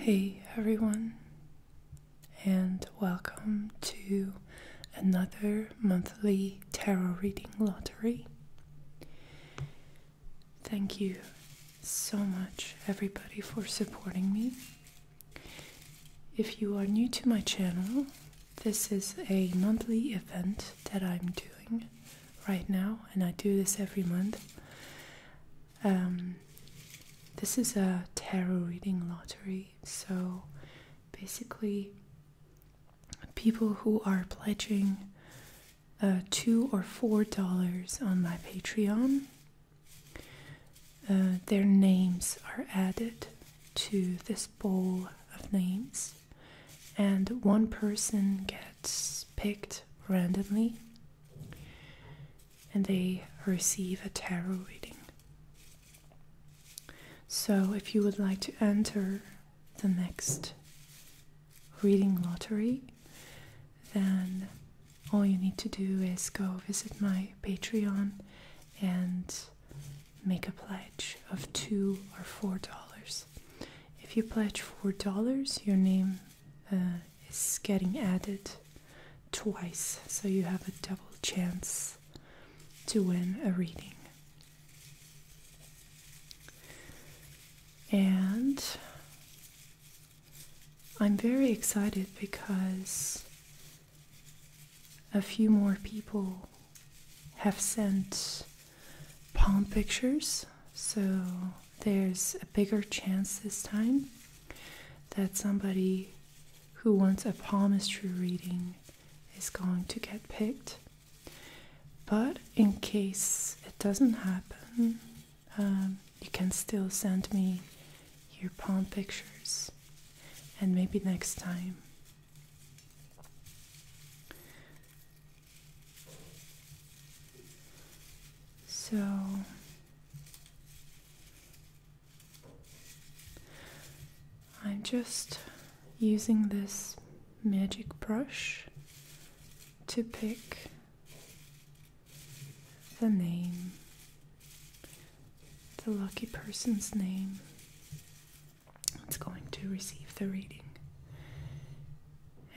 Hey everyone, and welcome to another monthly tarot reading lottery. Thank you so much, everybody, for supporting me if you are new to my channel, this is a monthly event that I'm doing right now, and I do this every month. Um, this is a tarot reading lottery, so basically, people who are pledging uh, two or four dollars on my Patreon uh, their names are added to this bowl of names, and one person gets picked randomly and they receive a tarot reading. So, if you would like to enter the next reading lottery, then all you need to do is go visit my Patreon and make a pledge of two or four dollars. If you pledge four dollars, your name uh, is getting added twice, so you have a double chance to win a reading. And I'm very excited because a few more people have sent palm pictures, so there's a bigger chance this time that somebody who wants a palmistry reading is going to get picked. But in case it doesn't happen, um, you can still send me your palm pictures, and maybe next time. So, I'm just using this magic brush to pick the name, the lucky person's name that's going to receive the reading.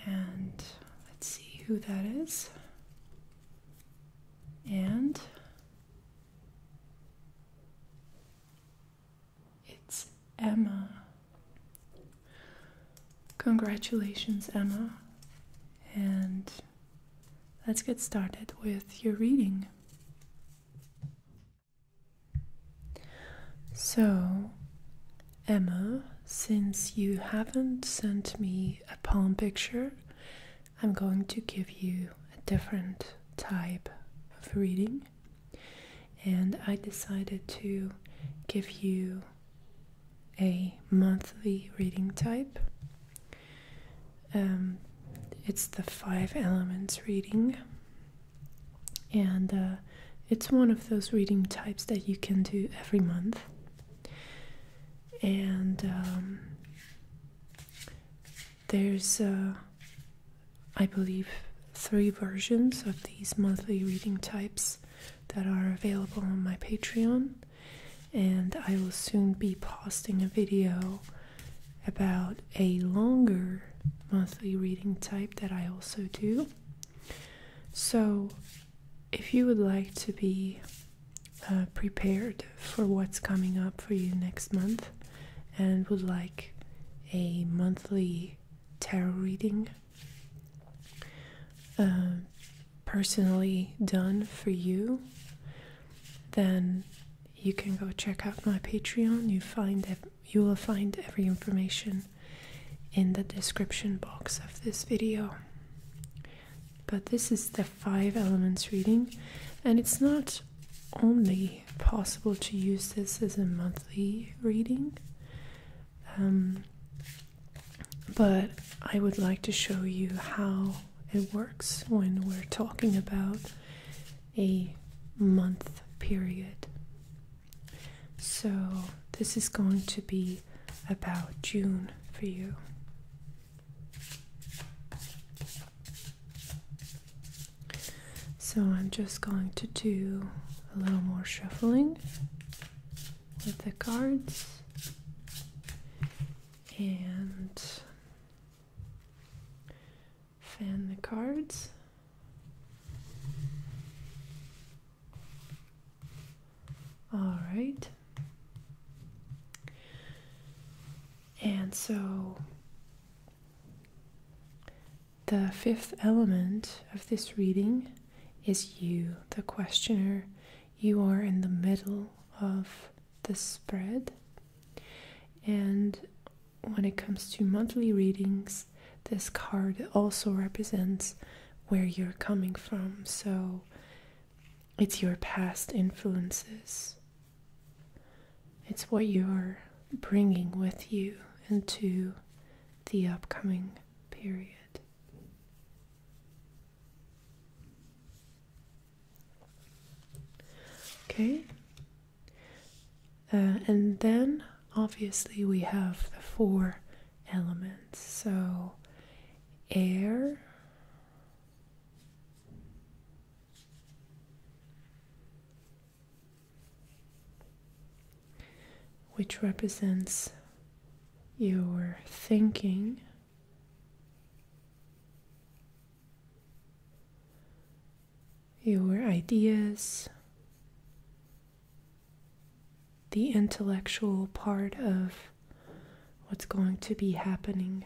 And let's see who that is. And it's Emma. Congratulations, Emma. And Let's get started with your reading. So, Emma, since you haven't sent me a palm picture, I'm going to give you a different type of reading. And I decided to give you a monthly reading type. Um, it's the Five Elements reading, and uh, it's one of those reading types that you can do every month. And um, there's, uh, I believe, three versions of these monthly reading types that are available on my Patreon and I will soon be posting a video about a longer monthly reading type that I also do. So, if you would like to be uh, prepared for what's coming up for you next month and would like a monthly tarot reading, uh, personally done for you, then you can go check out my Patreon. You find you will find every information in the description box of this video. But this is the five elements reading, and it's not only possible to use this as a monthly reading. Um, but I would like to show you how it works when we're talking about a month period. So, this is going to be about June for you. So, I'm just going to do a little more shuffling with the cards and Fan the cards. All right. And so the fifth element of this reading is you, the questioner. You are in the middle of the spread. And when it comes to monthly readings, this card also represents where you're coming from. So it's your past influences, it's what you're bringing with you into the upcoming period. Okay, uh, and then obviously we have the four elements so air. Which represents your thinking, your ideas, the intellectual part of what's going to be happening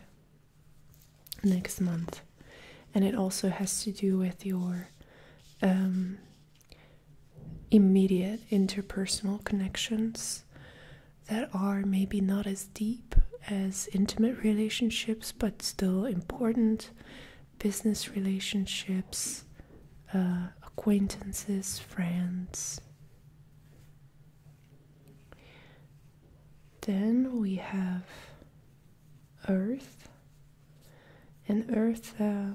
next month. And it also has to do with your um, immediate interpersonal connections that are maybe not as deep as intimate relationships, but still important business relationships, uh, acquaintances, friends. Then we have Earth, and Earth, uh,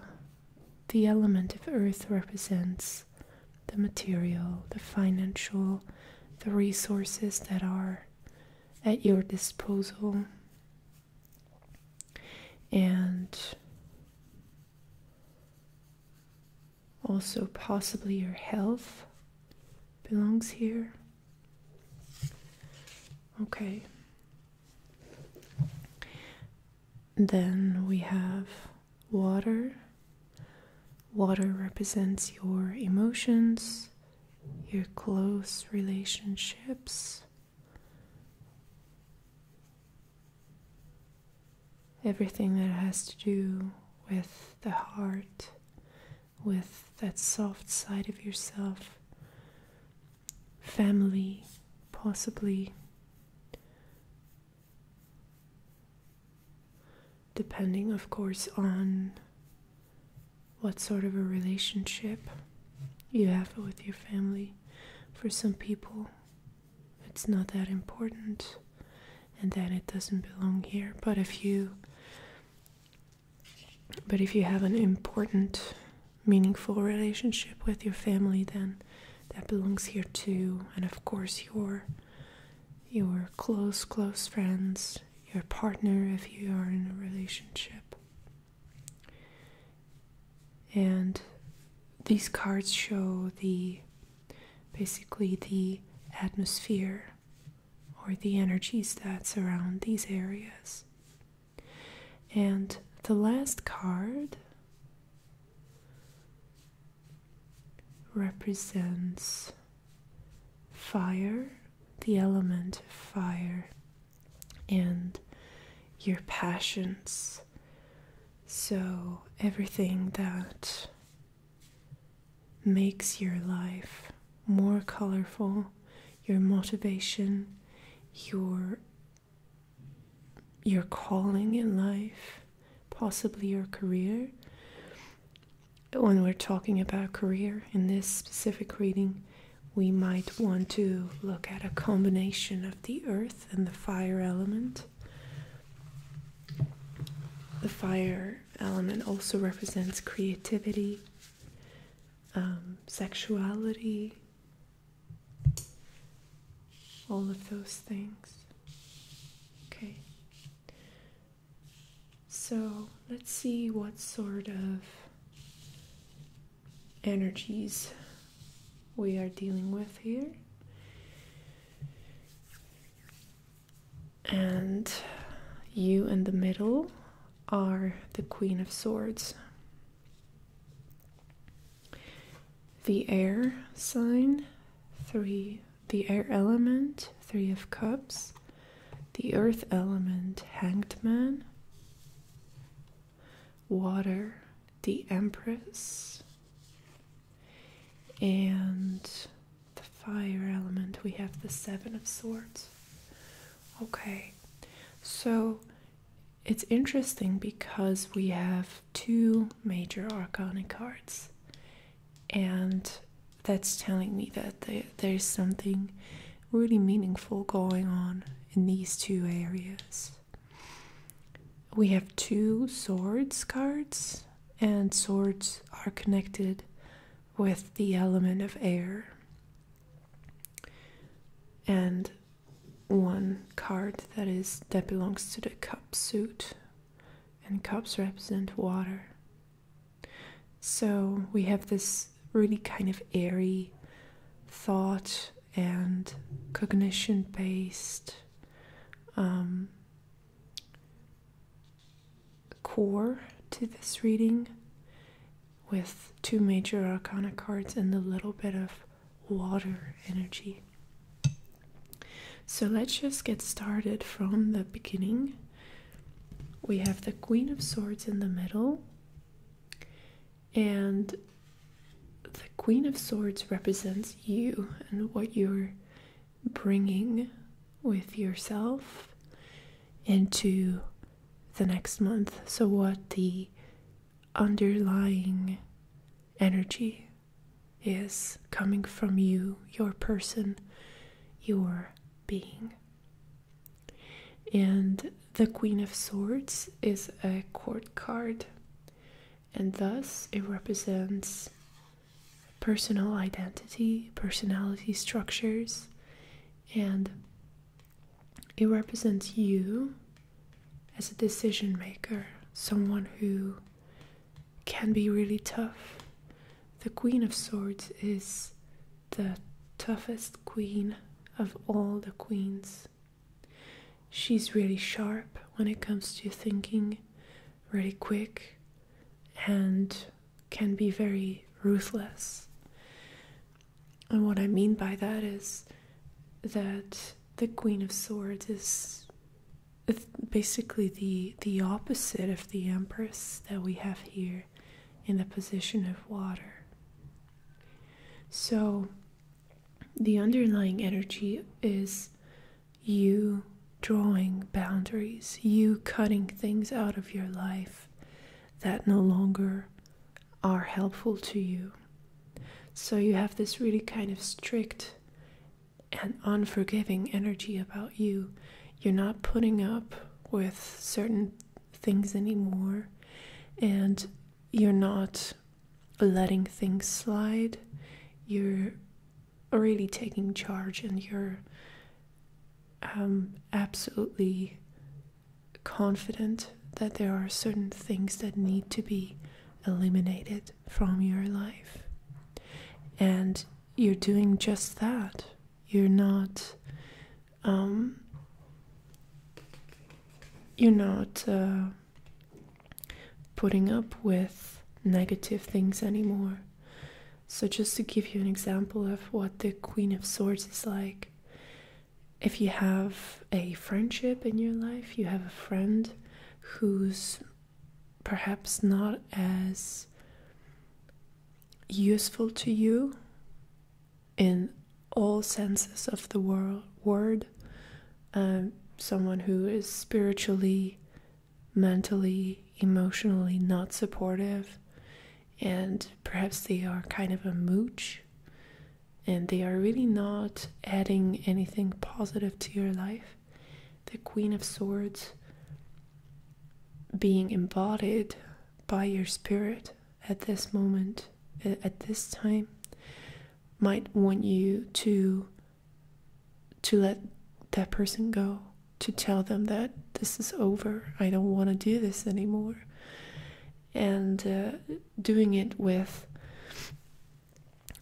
the element of Earth represents the material, the financial, the resources that are at your disposal and also possibly your health belongs here okay then we have water Water represents your emotions, your close relationships, everything that has to do with the heart, with that soft side of yourself, family, possibly depending, of course, on what sort of a relationship you have with your family. For some people, it's not that important, and then it doesn't belong here. But if you but if you have an important, meaningful relationship with your family, then that belongs here too. And of course, your your close, close friends, your partner if you are in a relationship. And these cards show the basically the atmosphere or the energies that surround these areas. And the last card represents fire, the element of fire, and your passions. So, everything that makes your life more colorful, your motivation, your your calling in life, possibly your career, when we're talking about career in this specific reading, we might want to look at a combination of the earth and the fire element. The fire element also represents creativity, um, sexuality, all of those things. Okay. So let's see what sort of energies we are dealing with here. And you in the middle are the Queen of Swords. The air sign, three the air element, Three of Cups, the earth element, Hanged Man, water, the Empress, and the fire element, we have the Seven of Swords. Okay, so it's interesting because we have two major arcana cards and that's telling me that there's something really meaningful going on in these two areas. We have two swords cards, and swords are connected with the element of air. And one card that is that belongs to the cup suit, and cups represent water. So we have this really kind of airy thought and cognition based um, core to this reading with two major arcana cards and a little bit of water energy. So let's just get started from the beginning we have the Queen of Swords in the middle, and the Queen of Swords represents you and what you're bringing with yourself into the next month. So, what the underlying energy is coming from you, your person, your being. And the Queen of Swords is a court card, and thus it represents personal identity, personality structures, and it represents you as a decision maker, someone who can be really tough. The Queen of Swords is the toughest queen of all the queens. She's really sharp when it comes to thinking, really quick, and can be very ruthless. And what I mean by that is that the Queen of Swords is basically the the opposite of the Empress that we have here in the position of water. So, the underlying energy is you drawing boundaries, you cutting things out of your life that no longer are helpful to you. So, you have this really kind of strict and unforgiving energy about you you're not putting up with certain things anymore and you're not letting things slide you're really taking charge and you're um, absolutely confident that there are certain things that need to be eliminated from your life and you're doing just that you're not um, you're not uh, putting up with negative things anymore. So just to give you an example of what the Queen of Swords is like, if you have a friendship in your life, you have a friend who's perhaps not as useful to you in all senses of the word. Um, someone who is spiritually, mentally, emotionally not supportive, and perhaps they are kind of a mooch and they are really not adding anything positive to your life. The Queen of Swords being embodied by your spirit at this moment, at this time, might want you to to let that person go, to tell them that this is over. I don't want to do this anymore. And uh, doing it with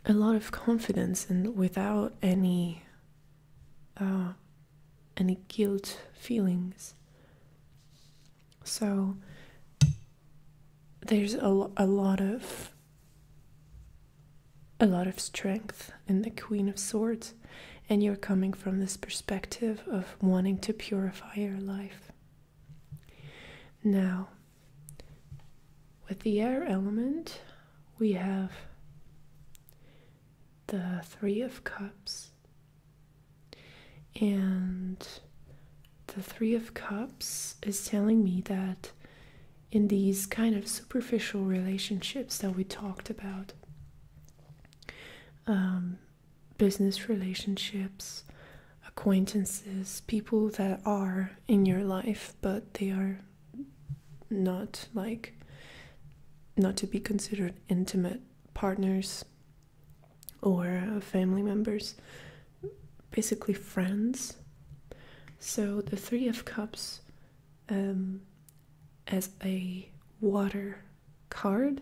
a lot of confidence and without any uh, any guilt feelings. So there's a, a lot of a lot of strength in the Queen of Swords, and you're coming from this perspective of wanting to purify your life. Now, with the air element, we have the Three of Cups, and the Three of Cups is telling me that in these kind of superficial relationships that we talked about, um, business relationships, acquaintances, people that are in your life, but they are not like not to be considered intimate partners or uh, family members, basically friends. So the Three of Cups um, as a water card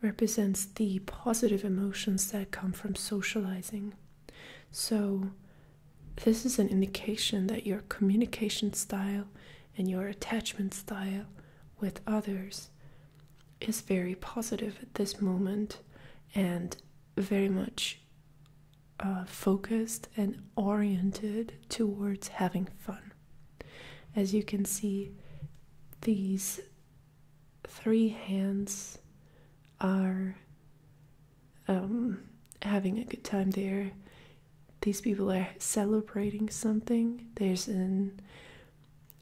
represents the positive emotions that come from socializing. So, this is an indication that your communication style and your attachment style with others is very positive at this moment and very much uh, focused and oriented towards having fun. As you can see, these three hands are um, having a good time. there these people are celebrating something there's an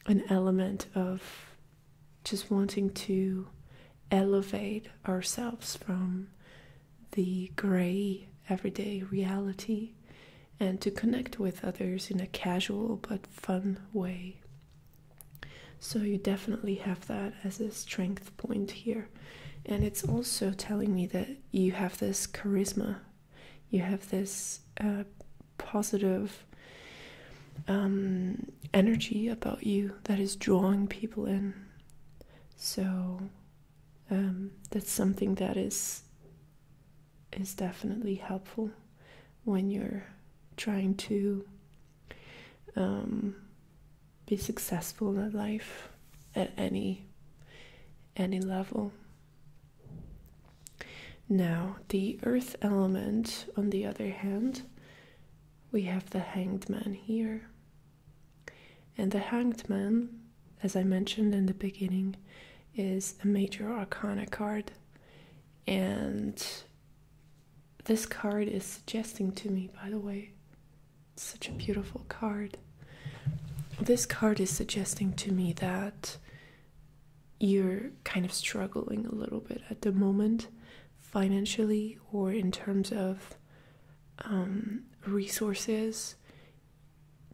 an element of just wanting to elevate ourselves from the gray everyday reality and to connect with others in a casual but fun way. So, you definitely have that as a strength point here. And it's also telling me that you have this charisma you have this uh, positive um, energy about you that is drawing people in. So um, that's something that is is definitely helpful when you're trying to um, be successful in life at any any level. Now, the earth element, on the other hand, we have the hanged man here. And the hanged man, as I mentioned in the beginning, is a major arcana card. And this card is suggesting to me, by the way, such a beautiful card. This card is suggesting to me that you're kind of struggling a little bit at the moment financially or in terms of um, resources,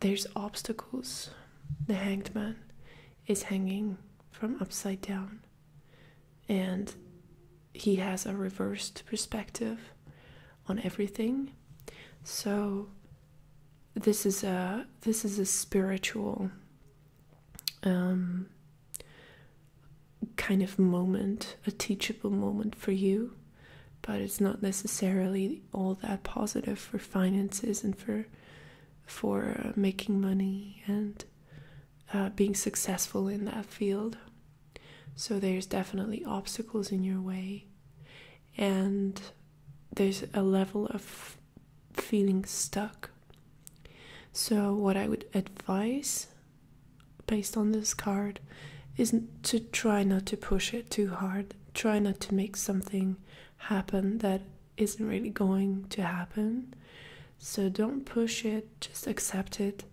there's obstacles. The hanged man is hanging from upside down and he has a reversed perspective on everything. So this is a this is a spiritual um, kind of moment, a teachable moment for you, but it's not necessarily all that positive for finances and for for uh, making money and uh, being successful in that field. So there's definitely obstacles in your way, and there's a level of feeling stuck. So, what I would advise based on this card is to try not to push it too hard, try not to make something happen that isn't really going to happen. So, don't push it, just accept it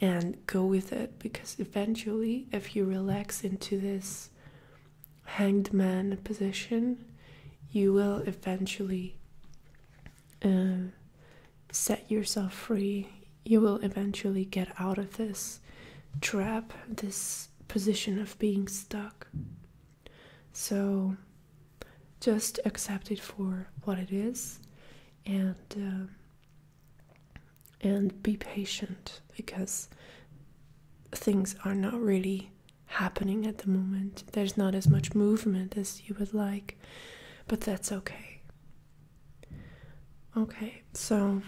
and go with it because eventually, if you relax into this hanged man position, you will eventually uh, set yourself free. You will eventually get out of this trap, this position of being stuck. So just accept it for what it is and uh, and be patient because things are not really happening at the moment. There's not as much movement as you would like, but that's okay. Okay, so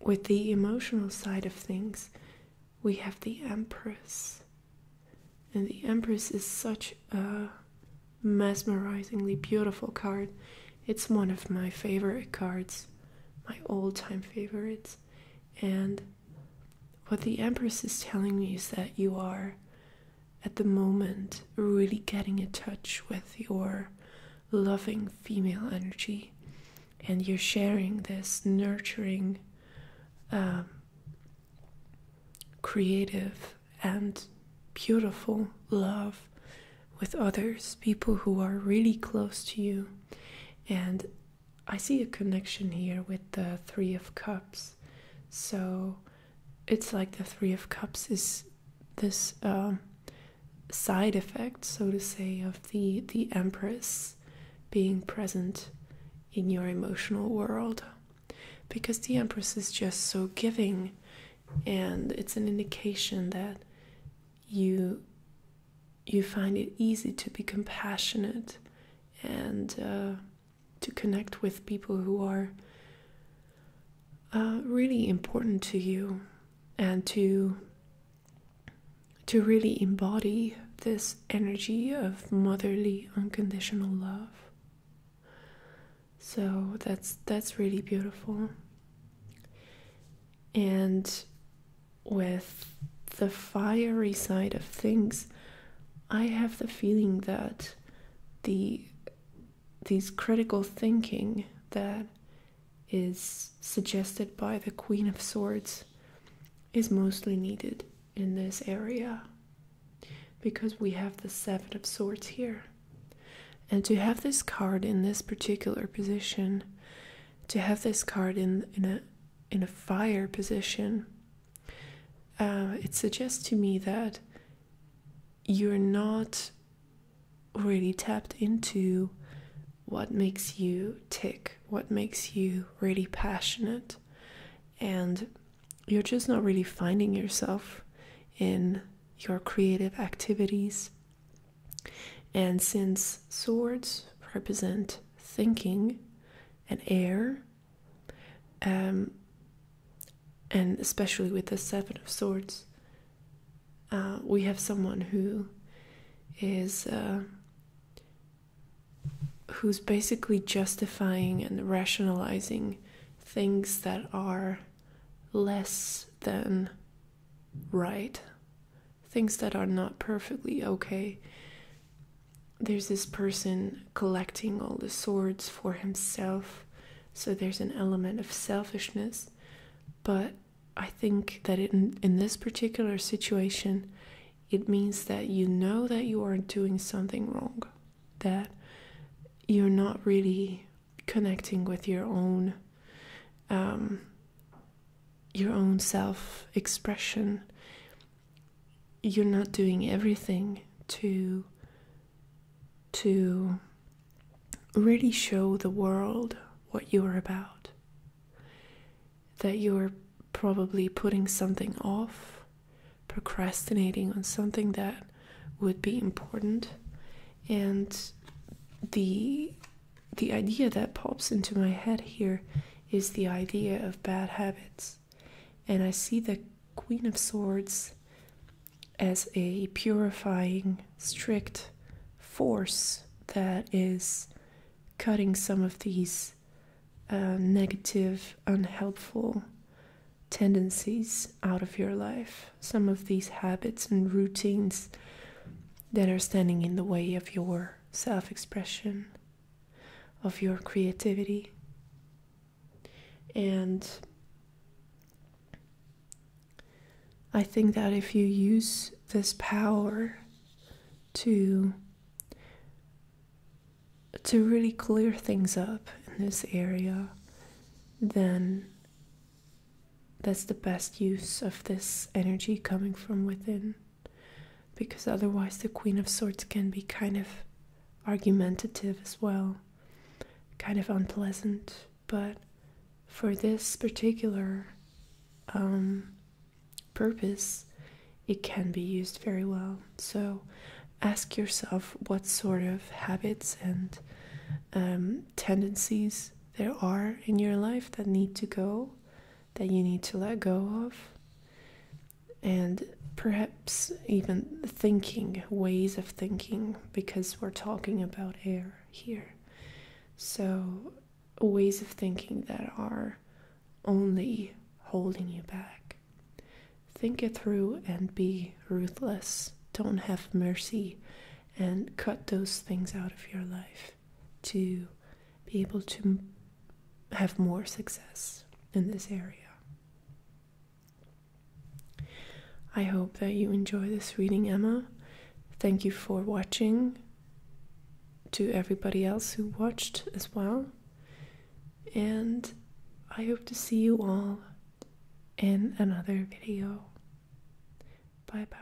with the emotional side of things, we have the Empress. And the Empress is such a mesmerizingly beautiful card. It's one of my favorite cards my old time favorites and what the empress is telling me is that you are at the moment really getting in touch with your loving female energy and you're sharing this nurturing um, creative and beautiful love with others people who are really close to you and I see a connection here with the Three of Cups. So it's like the Three of Cups is this um, side effect, so to say, of the, the Empress being present in your emotional world. Because the Empress is just so giving, and it's an indication that you you find it easy to be compassionate and uh, to connect with people who are uh, really important to you and to to really embody this energy of motherly unconditional love so that's that's really beautiful and with the fiery side of things, I have the feeling that the these critical thinking that is suggested by the Queen of Swords is mostly needed in this area because we have the Seven of Swords here. And to have this card in this particular position to have this card in in a in a fire position, uh, it suggests to me that you're not really tapped into what makes you tick, what makes you really passionate, and you're just not really finding yourself in your creative activities. And since swords represent thinking and air, um, and especially with the Seven of Swords, uh, we have someone who is uh, who's basically justifying and rationalizing things that are less than right things that are not perfectly okay. There's this person collecting all the swords for himself, so there's an element of selfishness. But I think that in, this particular situation, it means that you know that you are doing something wrong, that you're not really connecting with your own um, your own self expression. You're not doing everything to to really show the world what you are about. That you're probably putting something off, procrastinating on something that would be important, and the the idea that pops into my head here is the idea of bad habits. And I see the Queen of Swords as a purifying, strict force that is cutting some of these uh, negative, unhelpful tendencies out of your life. Some of these habits and routines that are standing in the way of your self expression, of your creativity. And I think that if you use this power to to really clear things up in this area, then that's the best use of this energy coming from within because otherwise the Queen of Swords can be kind of argumentative as well, kind of unpleasant. But for this particular um, purpose, it can be used very well. So ask yourself what sort of habits and um, tendencies there are in your life that need to go that you need to let go of, and perhaps even thinking, ways of thinking, because we're talking about air here. So, ways of thinking that are only holding you back. Think it through and be ruthless. Don't have mercy and cut those things out of your life to be able to have more success in this area. I hope that you enjoy this reading, Emma. Thank you for watching. To everybody else who watched as well. And I hope to see you all in another video. Bye bye.